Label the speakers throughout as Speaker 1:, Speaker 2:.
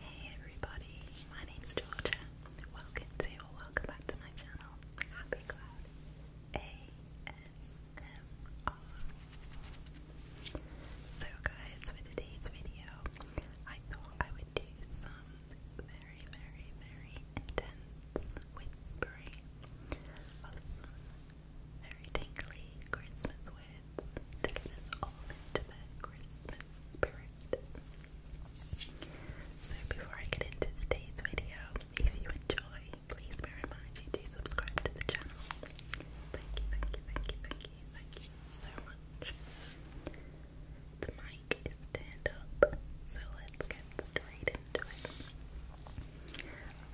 Speaker 1: Hey everybody, my name's Georgia. Welcome to or welcome back to my channel, Happy Cloud ASMR. So guys, for today's video, I thought I would do some very, very, very intense whispering of some very tingly Christmas to get us all into that Christmas spirit. So before I get into today's video, if you enjoy, please may I remind to
Speaker 2: subscribe to the channel. Thank you, thank you, thank you, thank you, thank you so much. The mic is turned up, so let's get straight into it.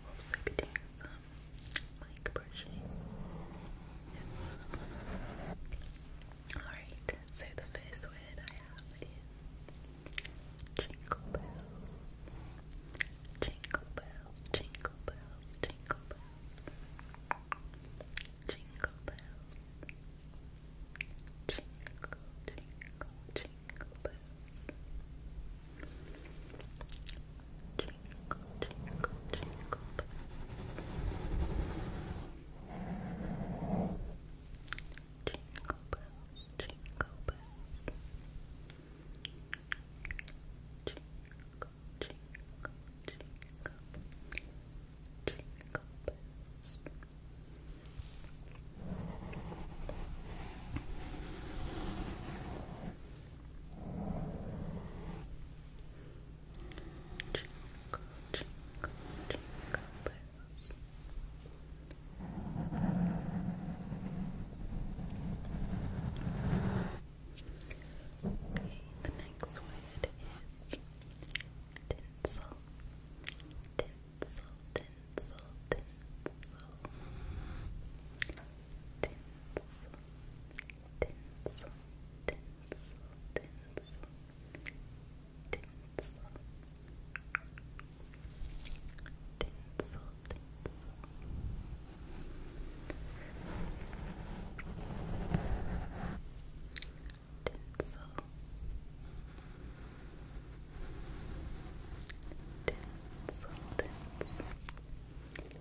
Speaker 2: also be Alright, so the first word I have is jingle bells. Jingle bells, jingle bells, jingle bells. Jingle bells. Jingle, jingle, jingle bells. Twinkle, twinkle, twinkle. Twinkle bells, twinkle bells. Twinkle, twinkle, twinkle. Twinkle bells. Twinkle, twinkle, twinkle, bells. Okay, the next word is tinsel. Tinsel, tinsel, tinsel. Tinsel, tinsel, tinsel, tinsel, tinsel, tinsel, tinsel, tinsel. Tinsel, tinsel,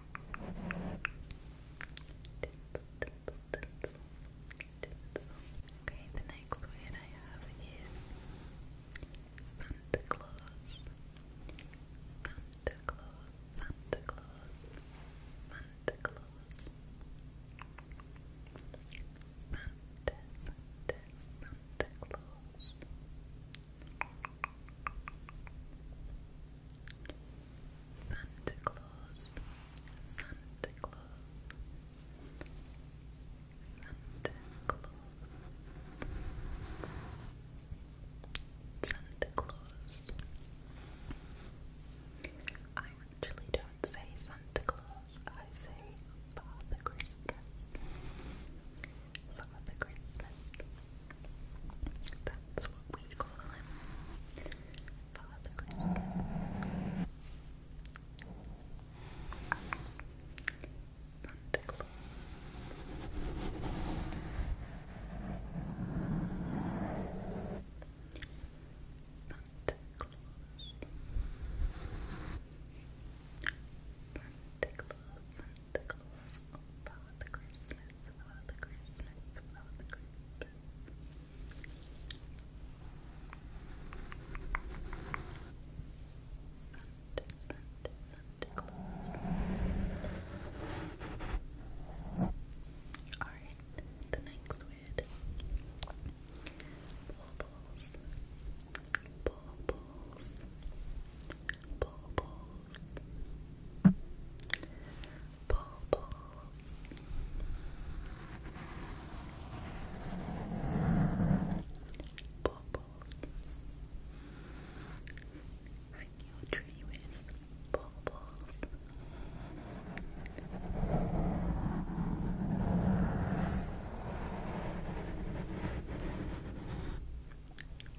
Speaker 2: tinsel, tinsel. Okay, the next word I have is Santa Claus. Santa Claus, Santa Claus, Santa Claus. Santa, Santa, Santa Claus circles. Santa Claus, Santa Claus, Santa Claus, Santa Claus. I actually don't say Santa Claus, I say Father Christmas. Father Christmas. That's what we call him. Santa Claus. Santa Claus. Santa Claus, the goals follow the Christmas, follow the Christmas, follow the Christmas. Alright, the next word. Bubbles. Bubbles bubbles, bubbles, bubbles. I knew a with Bubbles,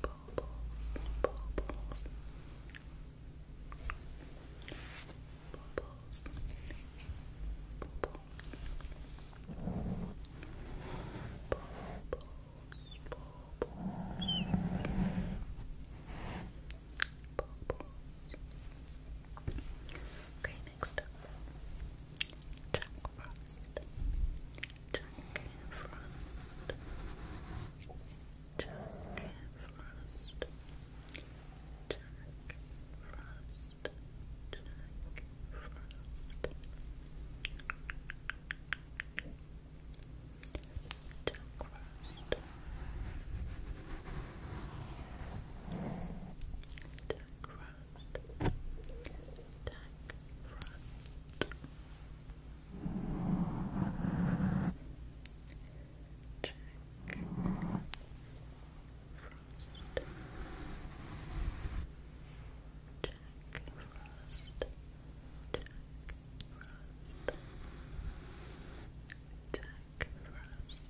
Speaker 2: bubbles, bubbles, bubbles, bubbles. Okay, next up. Chop, Frost. Jack Frost. Jack Frost. Jack Frost. Jack Frost. Jack Frost. Jack Frost frost. Attack frost. Check frost. Check frost. Check frost. Jack Frost,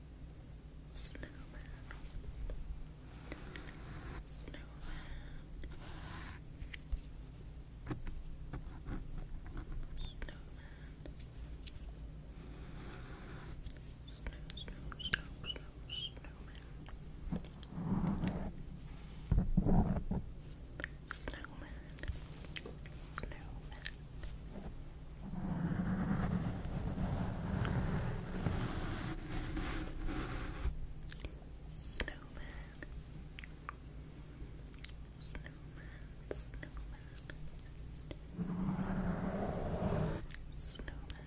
Speaker 2: Snowman. Snowman. Snowman. Snow, snowman. Snowman. Snowman. Snowman. Snowman, snowman. Snowman.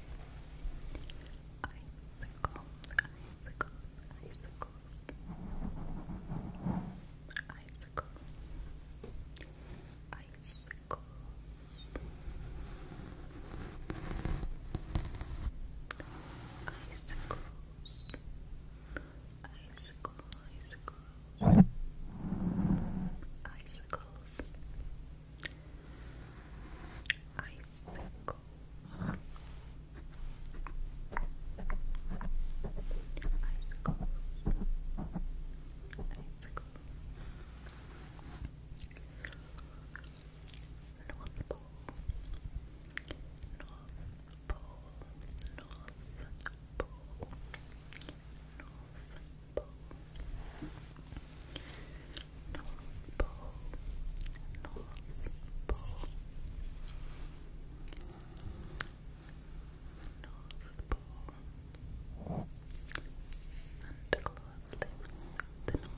Speaker 2: Icicles, icicles, icicles. Icicle. Icicles. Icicles. Icicle, icicles. Icicles. Icicles. Icicle. Icicles. Icicle. North Pole. North Pole. North Pole. North Pole. North Pole. North Pole. North Pole. Santa The North Pole.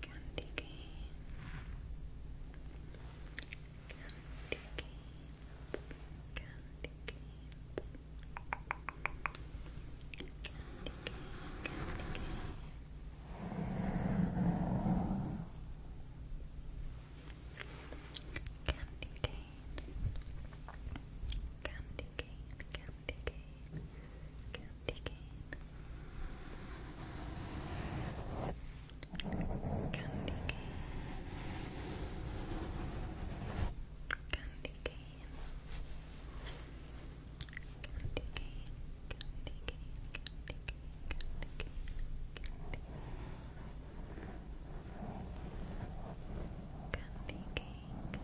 Speaker 2: candy cane, candy canes, candy cane, candy cane. Candy cane, candy cane, candy cane, candy cane, candy cane, candy cane, candy cane, candy cane, candy cane, candy cane, candy cane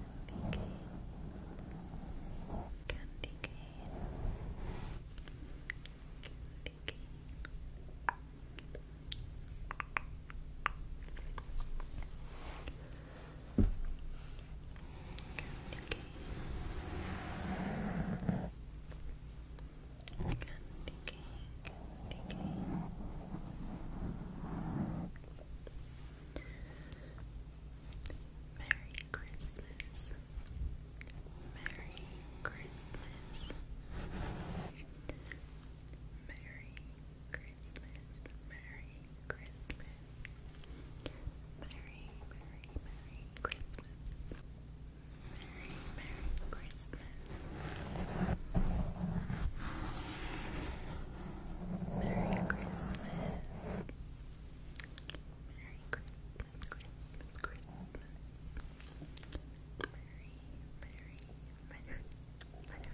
Speaker 2: candy cane, candy cane, candy cane. Candy cane. Candy cane, candy cane. Merry Christmas. Merry Christmas. Merry Christmas. Merry Christmas. Merry, Merry, Merry Christmas. Merry, Merry Christmas. Merry Christmas. Merry Christmas, Christmas, Christmas. merry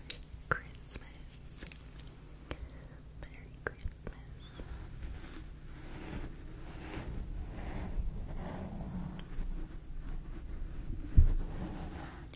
Speaker 2: Christmas. Merry Christmas.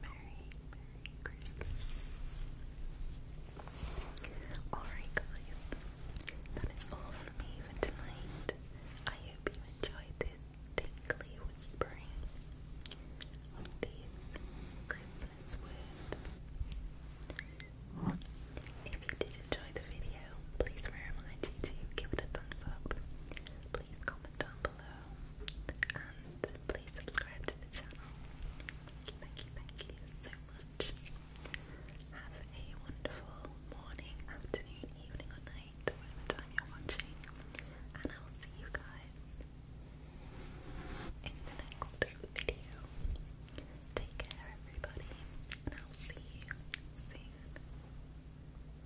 Speaker 2: Merry, Christmas. Alright, guys, that is all from me for tonight. I hope you enjoyed this tingly whispering of these Christmas words. If you did enjoy the video, please may I remind give it a thumbs up. Please comment down below and please subscribe to the channel. Thank you, thank you so much. Have a wonderful morning, afternoon, evening, or night, whatever you're watching, and I'll see you guys in the next video. Take care, everybody, and I'll see you soon.